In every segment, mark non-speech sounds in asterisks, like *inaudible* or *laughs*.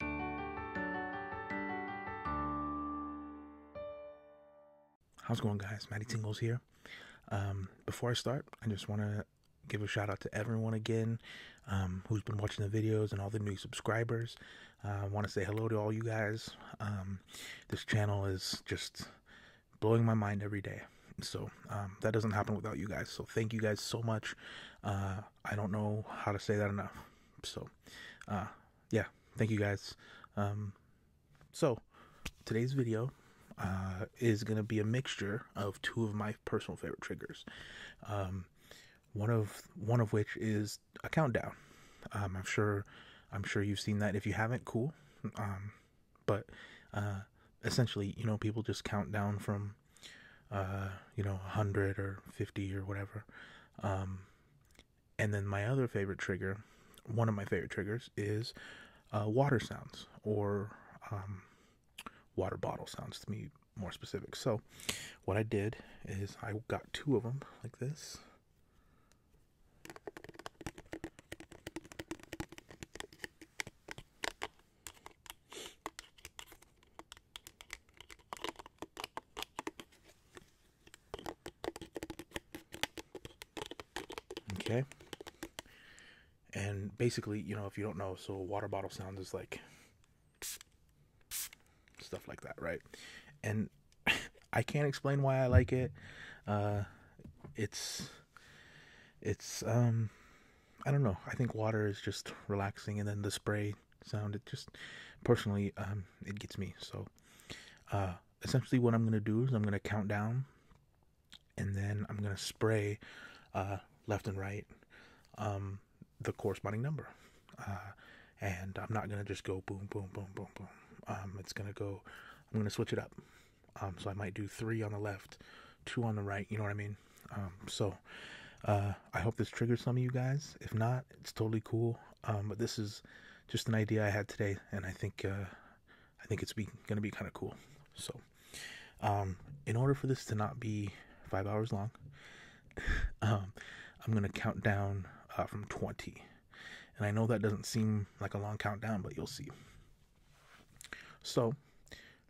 How's it going, guys? Matty Tingles here. Um, before I start, I just want to give a shout out to everyone again um, who's been watching the videos and all the new subscribers. Uh, I want to say hello to all you guys. Um, this channel is just blowing my mind every day. So that doesn't happen without you guys. So thank you guys so much. Uh, I don't know how to say that enough. So, uh, yeah, thank you guys. Um, so today's video uh, is going to be a mixture of two of my personal favorite triggers. Um, one of one of which is a countdown. Um, I'm sure I'm sure you've seen that. If you haven't, cool. but uh, essentially, you know, people just count down from uh, you know, 100 or 50 or whatever. Um, and then my other favorite trigger, one of my favorite triggers, is uh, water sounds or um, water bottle sounds to me more specific. So, what I did is I got two of them like this. Okay. And basically, you know, if you don't know, so water bottle sounds is like stuff like that, right? And *laughs* I can't explain why I like it. Uh, it's it's um I don't know. I think water is just relaxing and then the spray sound. It just personally um, it gets me. So uh, essentially, what I'm gonna do is I'm gonna count down, and then I'm gonna spray uh, left and right um, the corresponding number. Uh, and I'm not gonna just go boom, boom, boom, boom, boom. Um, it's gonna go. I'm gonna switch it up. Um, so I might do three on the left, two on the right. You know what I mean? Um, so uh, I hope this triggers some of you guys. If not, it's totally cool. Um, but this is just an idea I had today, and I think uh, I think it's be, gonna be kind of cool. So um, in order for this to not be five hours long, *laughs* I'm gonna count down uh, from 20. And I know that doesn't seem like a long countdown, but you'll see. So,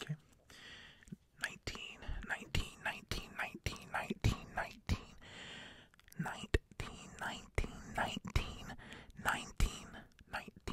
Okay. 19, 19, 19, 19, 19, 19, 19, 19, 19, 19, 19,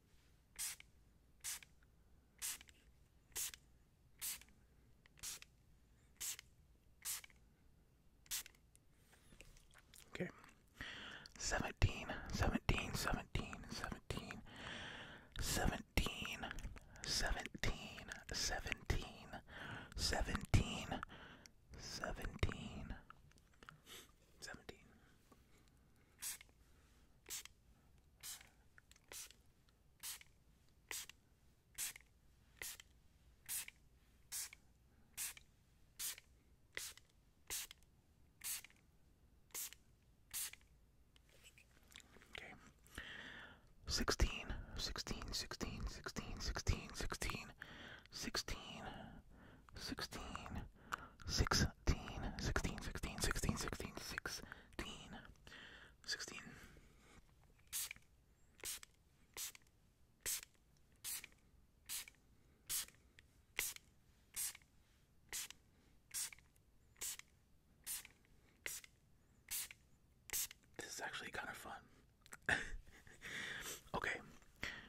Okay. 17, 17, 17, 17, 17, 17, 17, 17, 17, 17. Okay. 16, 16, 16, 16, 16, 16, 16, 16, 16, 16, 16, 16, 16, 16, 16. This is actually kind of fun. *laughs* okay,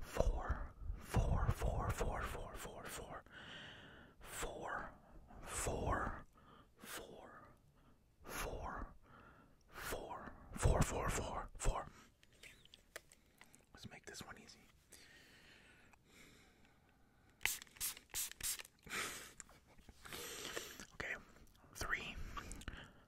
Four, four, four, four, four, four, four, four, four, four, four, four, four, four, four, four. Let's make this one easy. Okay, three,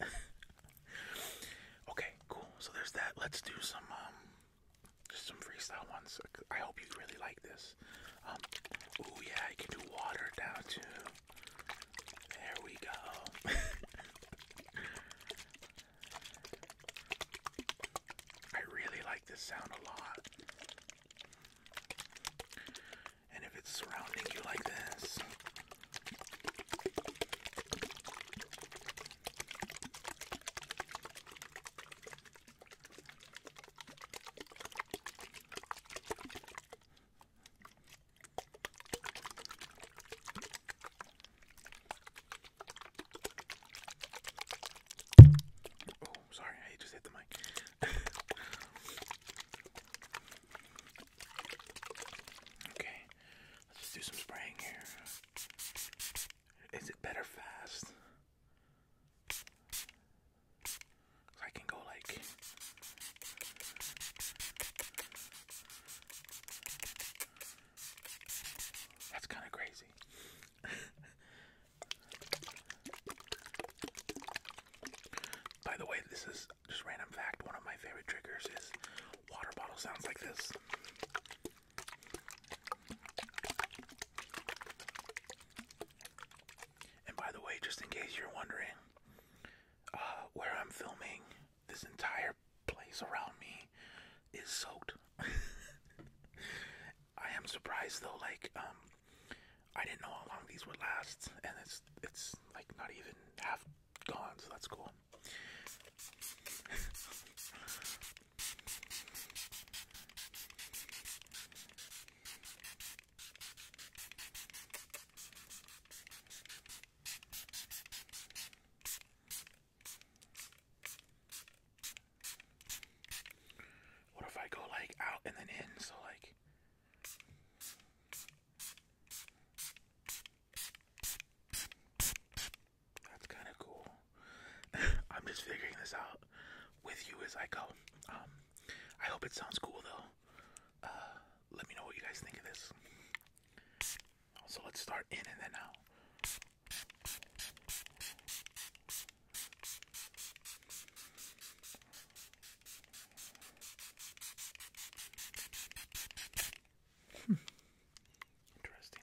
*laughs* okay, cool. So there's that. Let's do some um just some freestyle ones. I hope you really like this. Um oh yeah, I can do water down to. There we go. *laughs* I really like this sound a lot and if it's surrounding you like this, oh, sorry, I just hit the mic. *laughs* Okay, let's just do some spraying here. Is it better fast? I can go like. That's kind of crazy. *laughs* By the way, this is just random fact, one of my favorite triggers is water bottle sounds like this. And by the way, just in case you're wondering, uh, where I'm filming, this entire place around me is soaked. *laughs* I am surprised though, like, um, I didn't know how long these would last, and it's it's like not even half gone, so that's cool. What if I go like out and then in? So like that's kind of cool. *laughs* I'm just figuring this out with you as I go. Um, I hope it sounds cool though. Uh, let me know what you guys think of this. So let's start in and then out. Hmm. Interesting.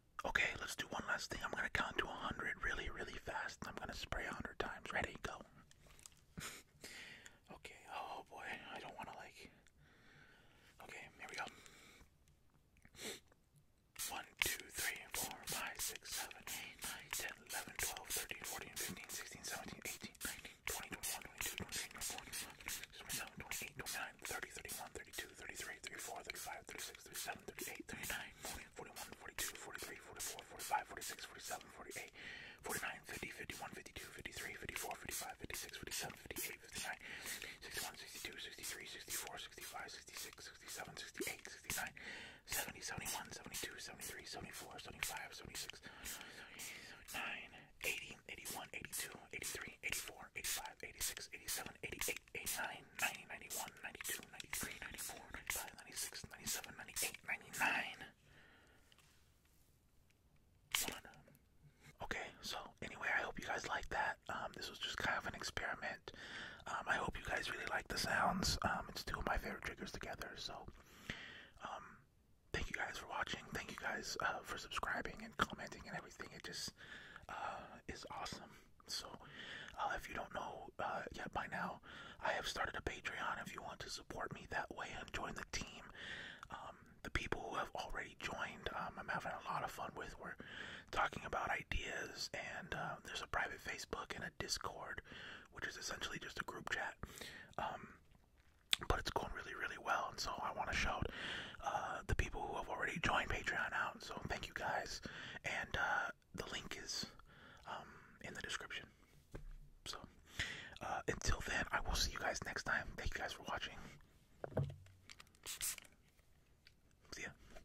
Okay, let's do one last thing. I'm gonna count to a hundred really, really fast. I'm gonna spray a hundred times. Ready? Go. *laughs* okay. Oh boy, I don't want to like. Okay, here we go. One, two, three, four, five, six, seven, eight, nine, ten, eleven, twelve, thirteen, fourteen, fifteen, sixteen, seventeen, eighteen, nineteen, twenty, twenty-one, twenty-two, twenty-three, twenty-four, twenty-five, twenty-seven, twenty-eight, twenty-nine, thirty, thirty-one, 32, 33, 34, 35, 36, 37, 38, 39, 40, 41, 42, 43, 44, 45, 46, 47, 48, 49, 50, 51, 52, 53, 54, 55, 56, 57, 58, 59, 61, 62, 63, 64, 65, 66, 67, 68, 69, 70, 71, 72, 73, 74, 75, 76, 79, 80, 81, 82, 83, 84, 85, 86, 87, 88, 98, 89, 90, 91, 92, 93, 94, 95, 96, 97, 98, 99. Okay, so anyway, I hope you guys liked that. Um, this was just kind of an experiment. Um, I hope you guys really like the sounds. Um, it's two of my favorite triggers together. So, um, thank you guys for watching. Thank you guys uh, for subscribing and commenting and everything. It just uh, is awesome. So, uh, if you don't know uh, yet by now, I have started a Patreon. If you want to support me that way and join the team, um, the people who have already joined, um, I'm having a lot of fun with. We're talking about ideas, and uh, there's a private Facebook and a Discord, which is essentially just a group chat. Um, but it's going really, really well, and so I want to shout uh, the people who have already joined Patreon so thank you guys, and uh, the link is um, in the description. So uh, until then, I will see you guys next time. Thank you guys for watching. See ya.